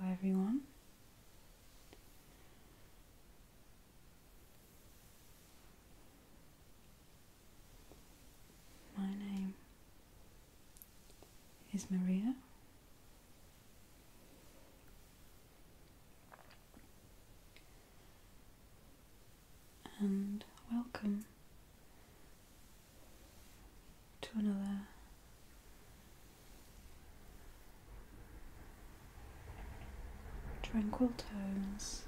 Hello, everyone. My name is Maria. And welcome to another. Tranquil tones.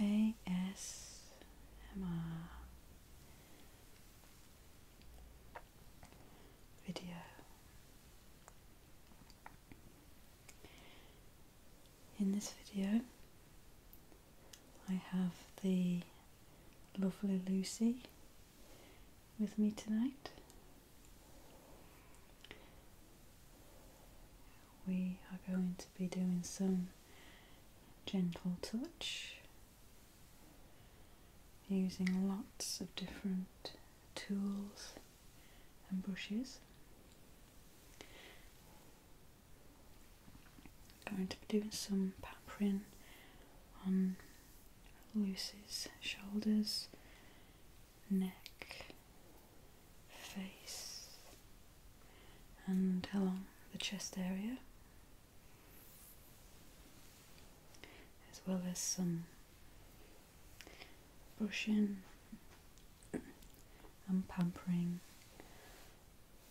ASMR video. In this video, I have the lovely Lucy with me tonight. We are going to be doing some gentle touch using lots of different tools and brushes. Going to be doing some pampering on Lucy's shoulders, neck, face, and along the chest area, as well as some brushing and pampering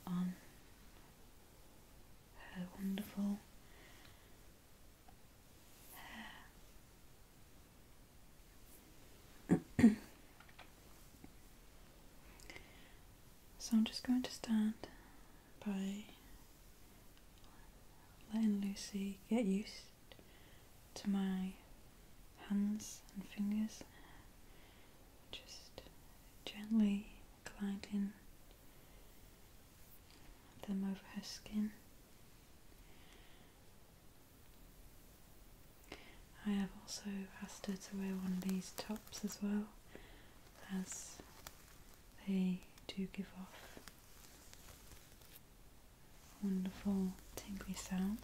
on um, her wonderful hair. so I'm just going to stand by letting Lucy get used to my hands and fingers just gently gliding them over her skin. I have also asked her to wear one of these tops as well, as they do give off wonderful tingly sounds.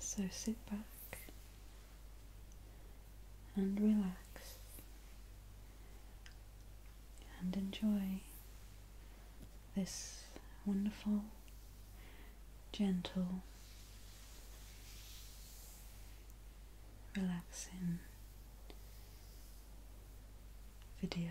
So sit back and relax and enjoy this wonderful, gentle, relaxing video.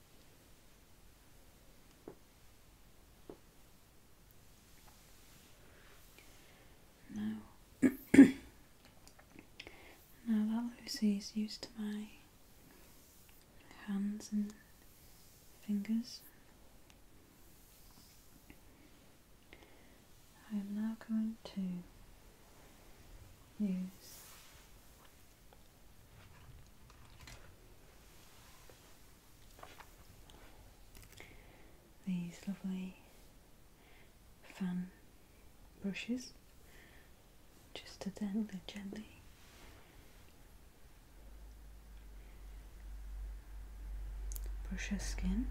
Now, now that Lucy is used to my hands and fingers, I am now going to use these lovely fan brushes just to then gently brush her skin.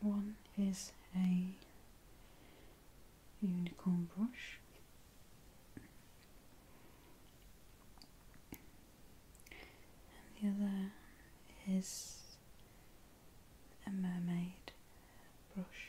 One is a unicorn brush. And the other is a mermaid brush.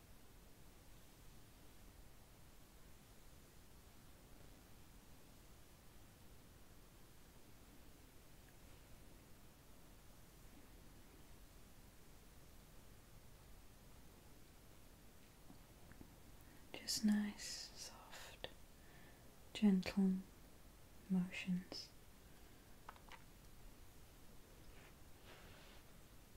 Just nice, soft, gentle motions.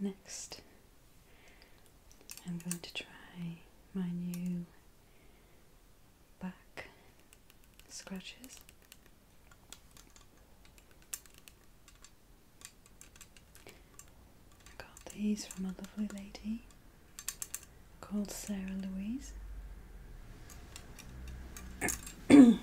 Next, I'm going to try my new back scratches. I got these from a lovely lady called Sarah Louise.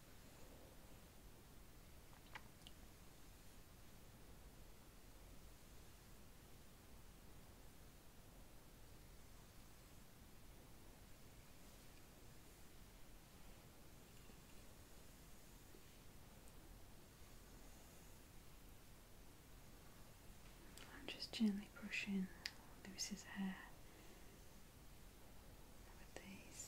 I'm just gently brushing Lewis's hair with these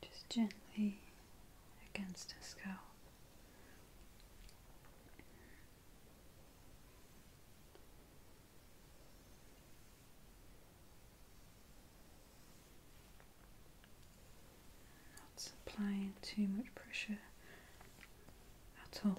Just gently against the scalp. Not applying too much pressure at all.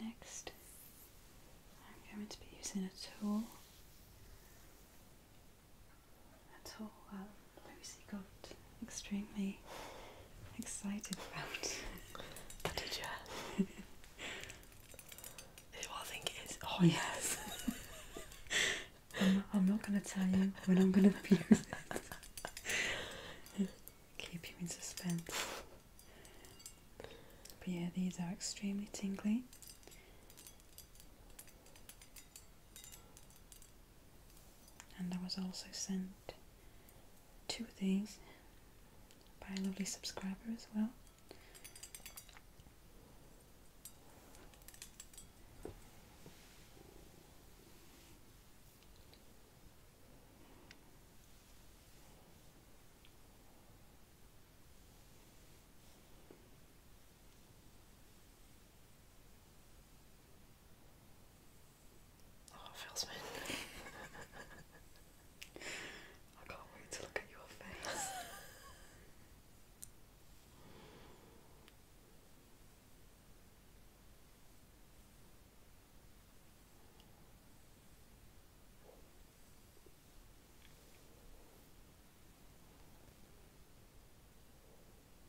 Next, I'm going to be using a tool, a tool that Lucy got extremely excited about. What Did you? Who I think it is. Oh yes. I'm, not going to tell you when I'm going to abuse it. Keep you in suspense. But yeah, these are extremely tingly and I was also sent two of these by a lovely subscriber as well. Oh, it feels mean. I can't wait to look at your face.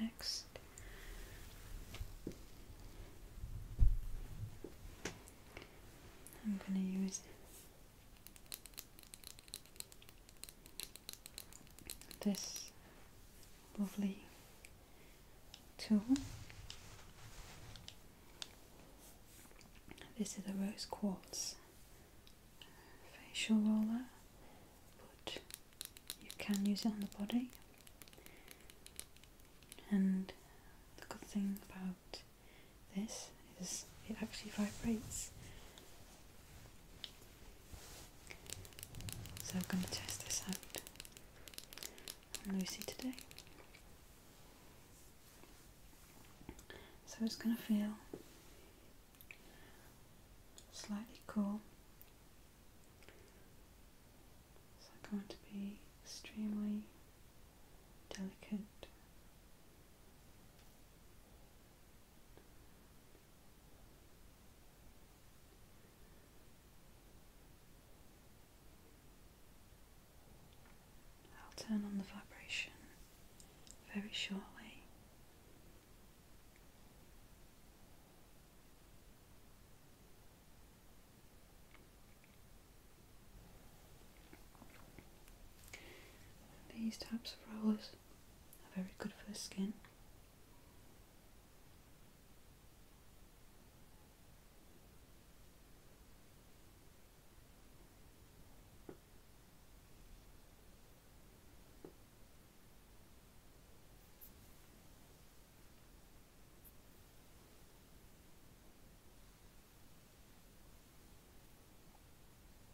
Next, I'm going to use this lovely tool. This is a rose quartz facial roller, but you can use it on the body. And the good thing about this is it actually vibrates. So I'm going to test this out on Lucy today. So it's going to feel slightly cool. It's i going to be extremely delicate I'll turn on the vibration very shortly. These types of rollers very good for the skin.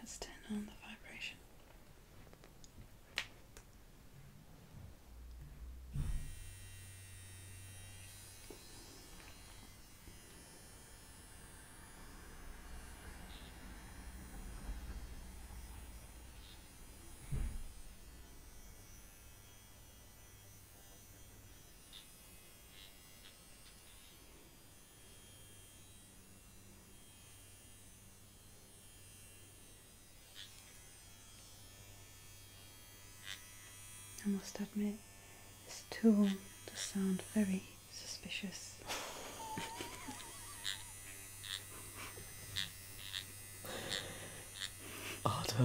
Let's turn on the vibration. I must admit, this tool does sound very suspicious. Otter.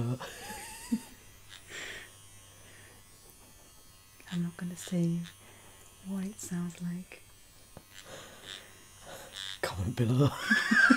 I'm not going to say what it sounds like. Comment below.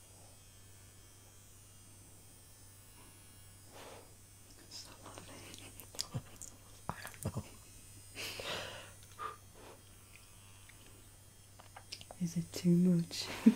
So lovely. I don't know. Is it too much?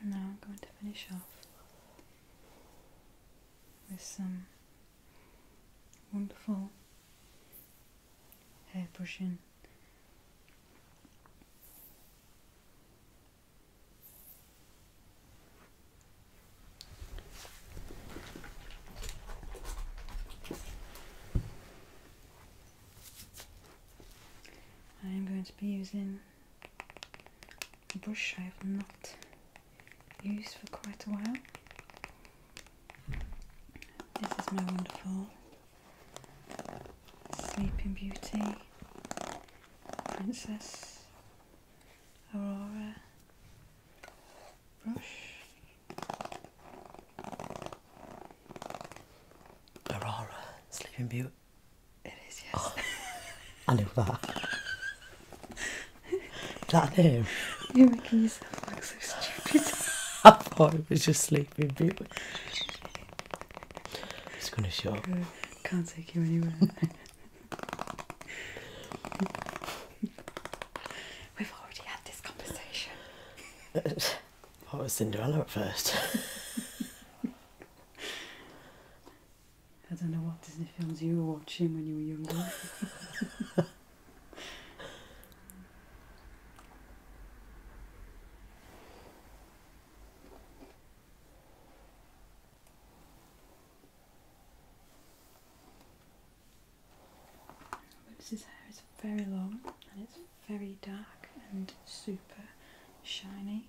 And now I'm going to finish off with some wonderful hair brushing. I'm going to be using a brush I have not used for quite a while. This is my wonderful Sleeping Beauty Princess Aurora brush. Aurora, Sleeping Beauty. It is, yes. Oh. I knew that. that name? You're making yourself look so stupid. I thought it was just Sleeping Beauty. It's gonna show. up. Can't take you anywhere. We've already had this conversation. I was Cinderella at first. I don't know what Disney films you were watching when you were younger. This hair is very long and it's very dark and super shiny.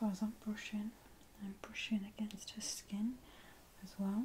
So as I'm brushing, I'm brushing against her skin as well.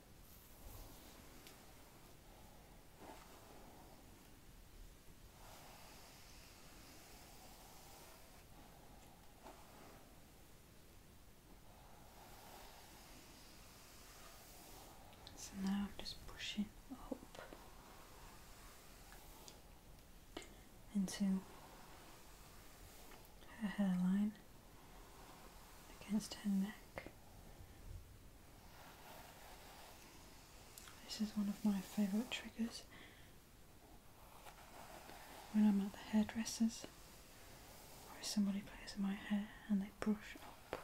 So now I'm just pushing up into her hairline against her neck. This is one of my favourite triggers when I'm at the hairdresser's or if somebody plays with my hair and they brush up.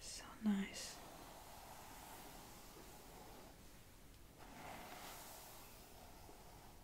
So nice.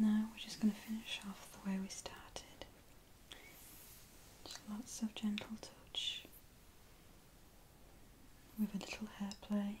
Now we're just going to finish off the way we started. Just lots of gentle touch with a little hair play.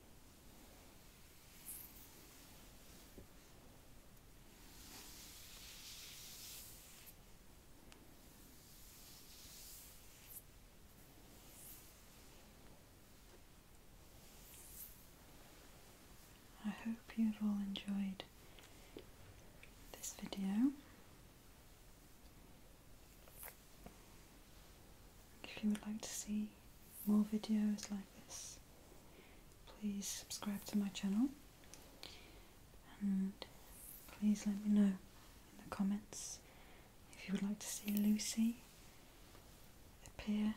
I hope you've all enjoyed this video. If you would like to see more videos like this, please subscribe to my channel and please let me know in the comments if you would like to see Lucy appear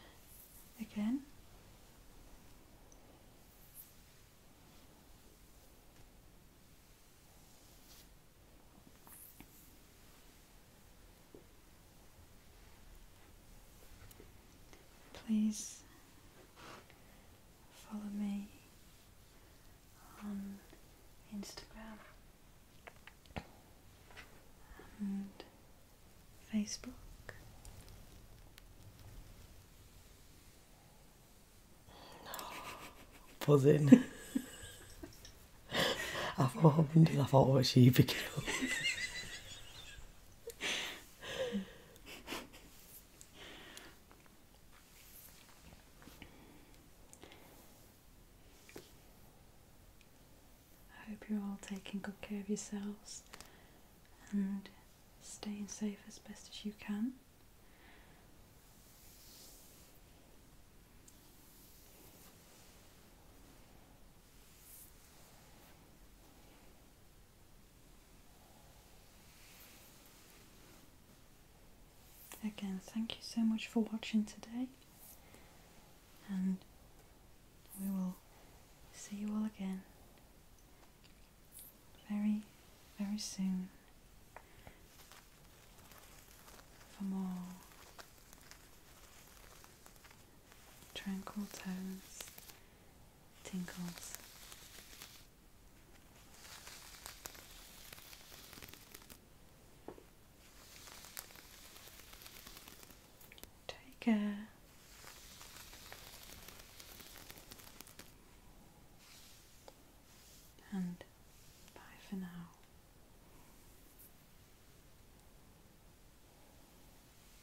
again. Please follow me on Instagram and Facebook. No, buzzing. I thought, I I thought, what she picking I hope you're all taking good care of yourselves and staying safe as best as you can. Again, thank you so much for watching today, and we will see you all again very, very soon for more tranquil tones, tinkles. Take care. And bye for now.